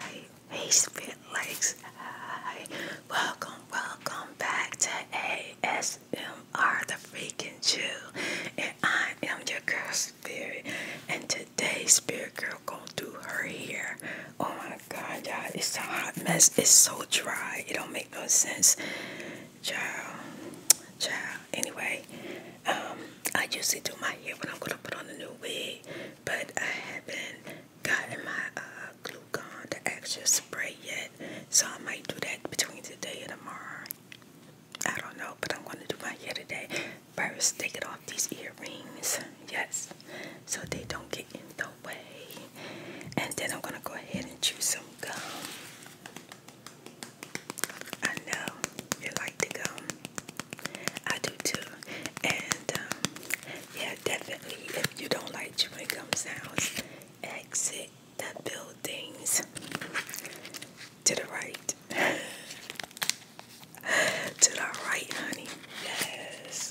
Hey, hey, spit legs. Hi, welcome, welcome back to ASMR, the freaking Jew, and I am your girl Spirit. And today, Spirit Girl gonna do her hair. Oh my God, y'all, it's a hot mess. It's so dry. It don't make no sense, child, child. Anyway, um, I usually do my hair when I'm gonna put on a new wig, but I haven't gotten my uh, glue gun, the extra spray yet, so I might do that between today and tomorrow. I don't know, but I'm gonna do my hair today. First, take it off these earrings, yes, so they don't get in the way, and then I'm gonna go ahead and choose some gum. I know you like the gum. I do too. And um, yeah, definitely if you don't like chewing gum sounds, exit the buildings to the right. to the right, honey. Yes.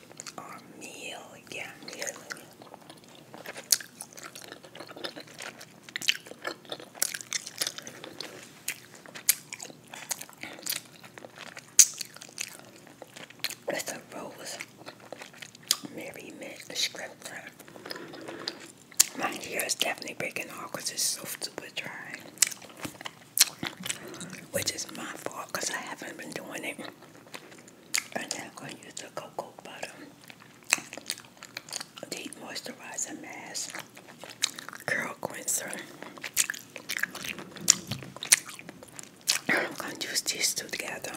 Or um, meal, yeah, meal. rose Mary Mint scripture. My hair is definitely breaking off because it's so super dry. Which is my fault because I haven't been doing it I'm going to use the cocoa butter deep moisturizer mask curl cleanser. I'm going to use these two together.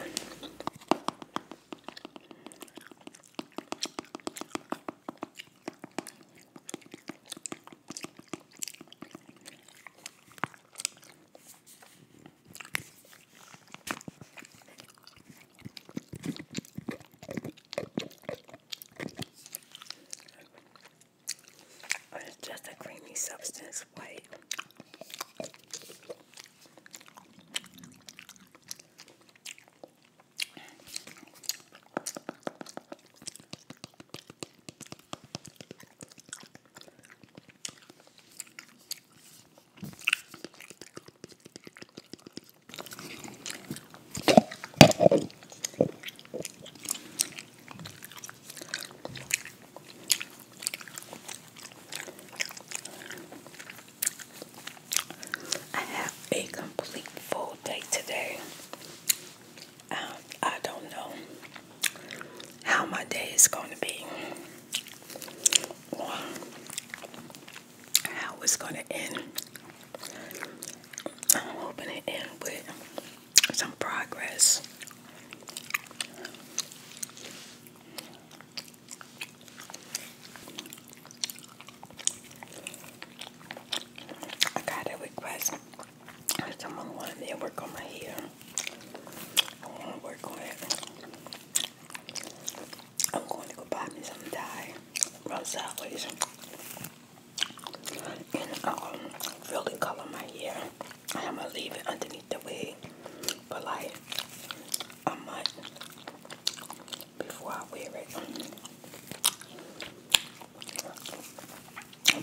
It's just a creamy substance, white. I have a complete full day today. Um, I don't know how my day is going to be how it's going to end. I'm hoping it end with some progress. I got a request Someone wanted me to work on my hair. I want to work on it. I'm going to go buy me some dye from Sideways. And um, really color my hair. And I'm going to leave it underneath the wig for like a month before I wear it.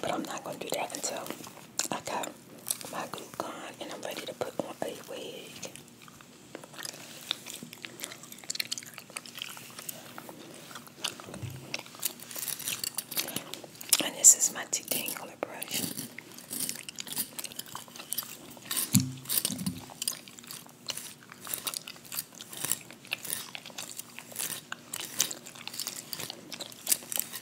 But I'm not going to do that until I got my glue gun and I'm ready to put on a wig. And this is my detangler brush.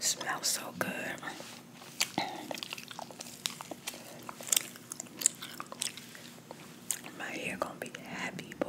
Smells so good. My hair gonna be happy, boy.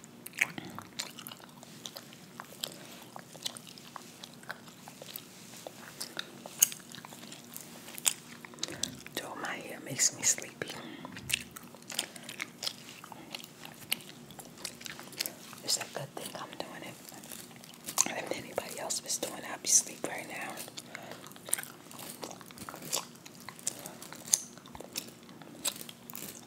Though my hair makes me sleepy. It's that good thing I'm doing it. if anybody else was doing it, I'd be asleep right now.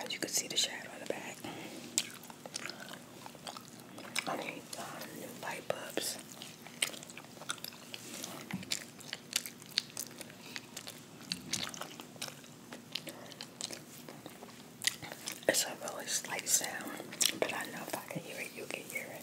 As you can see the shadow on the back. I need um, new light bulbs. It's a really slight sound, but I know if I can hear it, you can hear it.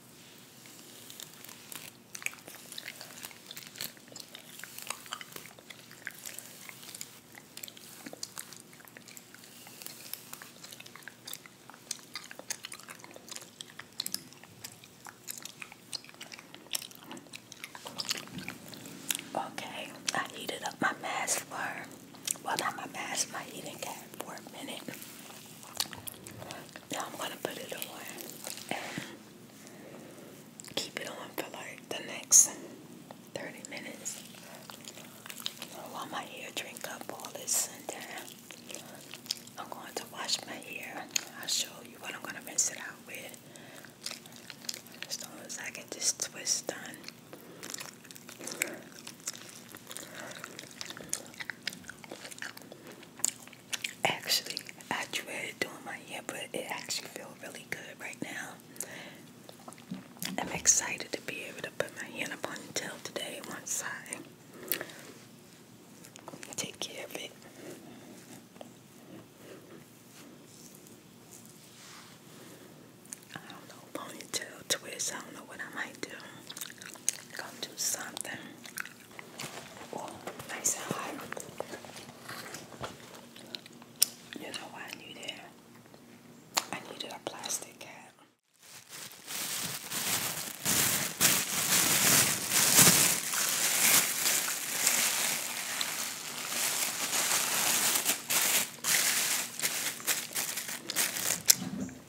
Okay, I heated up my mask for, well, not my mask, my heating cap for a minute. Now I'm gonna put it on and keep it on for like the next 30 minutes while my hair drink up all this and I'm going to wash my hair. I'll show you what I'm gonna rinse it out with. As long as I get this twist done. Actually, I dread doing my hair, but it actually feels really good right now. I'm excited to be able to put my hair on the tail today once I take care of it. I don't know, ponytail twist, I don't know what I might do. Gonna do something. Oh, nice and hot. You know why I needed I needed a plastic cap.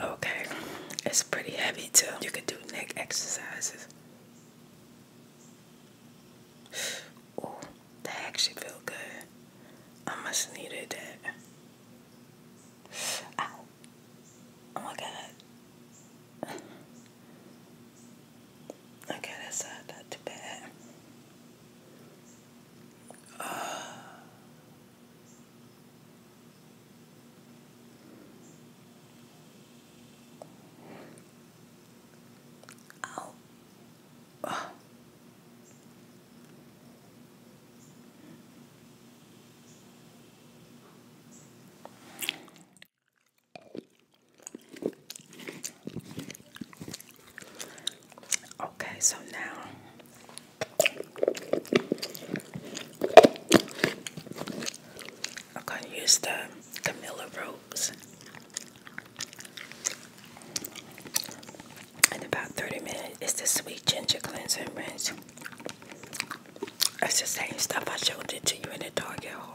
Okay, it's pretty heavy too. You can do neck exercises. Oh, that actually feel good. I must have needed that. Ow. Oh my god. Okay, that's not, not too bad. Uh, Ow. Oh. Okay, so now I'm gonna use the Camilla Rose in about 30 minutes. It's the sweet ginger cleansing rinse. It's the same stuff I showed it to you in the Target haul.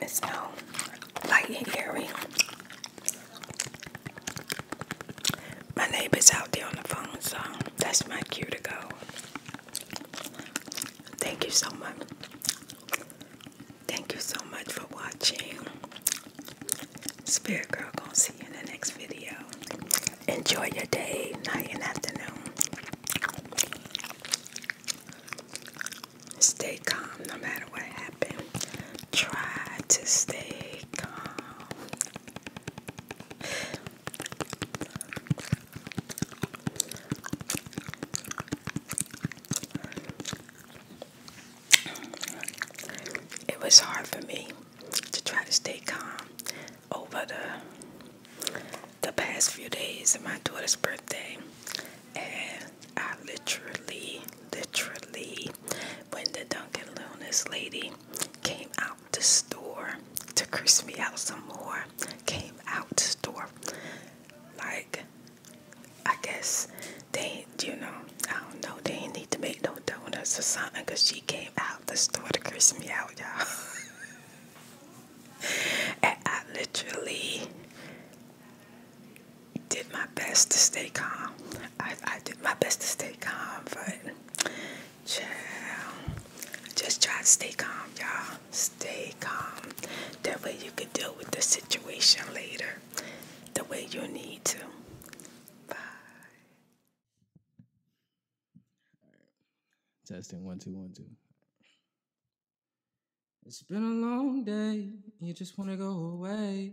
It's no light and airy. My neighbor's out there on the phone, so that's my cue to go. Thank you so much. Thank you so much for watching. Spirit Girl gonna see you in the next video. Enjoy your day, night, and afternoon. Stay calm no matter what happens. Try to stay calm. It was hard for me to try to stay calm over the the past few days of my daughter's birthday and I literally literally when the Duncan Lunas lady came out out the store to curse me out some more. Came out the store. Like, I guess they, you know, I don't know, they didn't need to make no donuts or something because she came out the store to curse me out, y'all. and I literally did my best to stay calm. I, I did my best to stay calm, but Child. Just try to stay calm, y'all. Stay calm. That way you can deal with the situation later the way you need to. Bye. Testing one, two, one, two. It's been a long day. You just want to go away.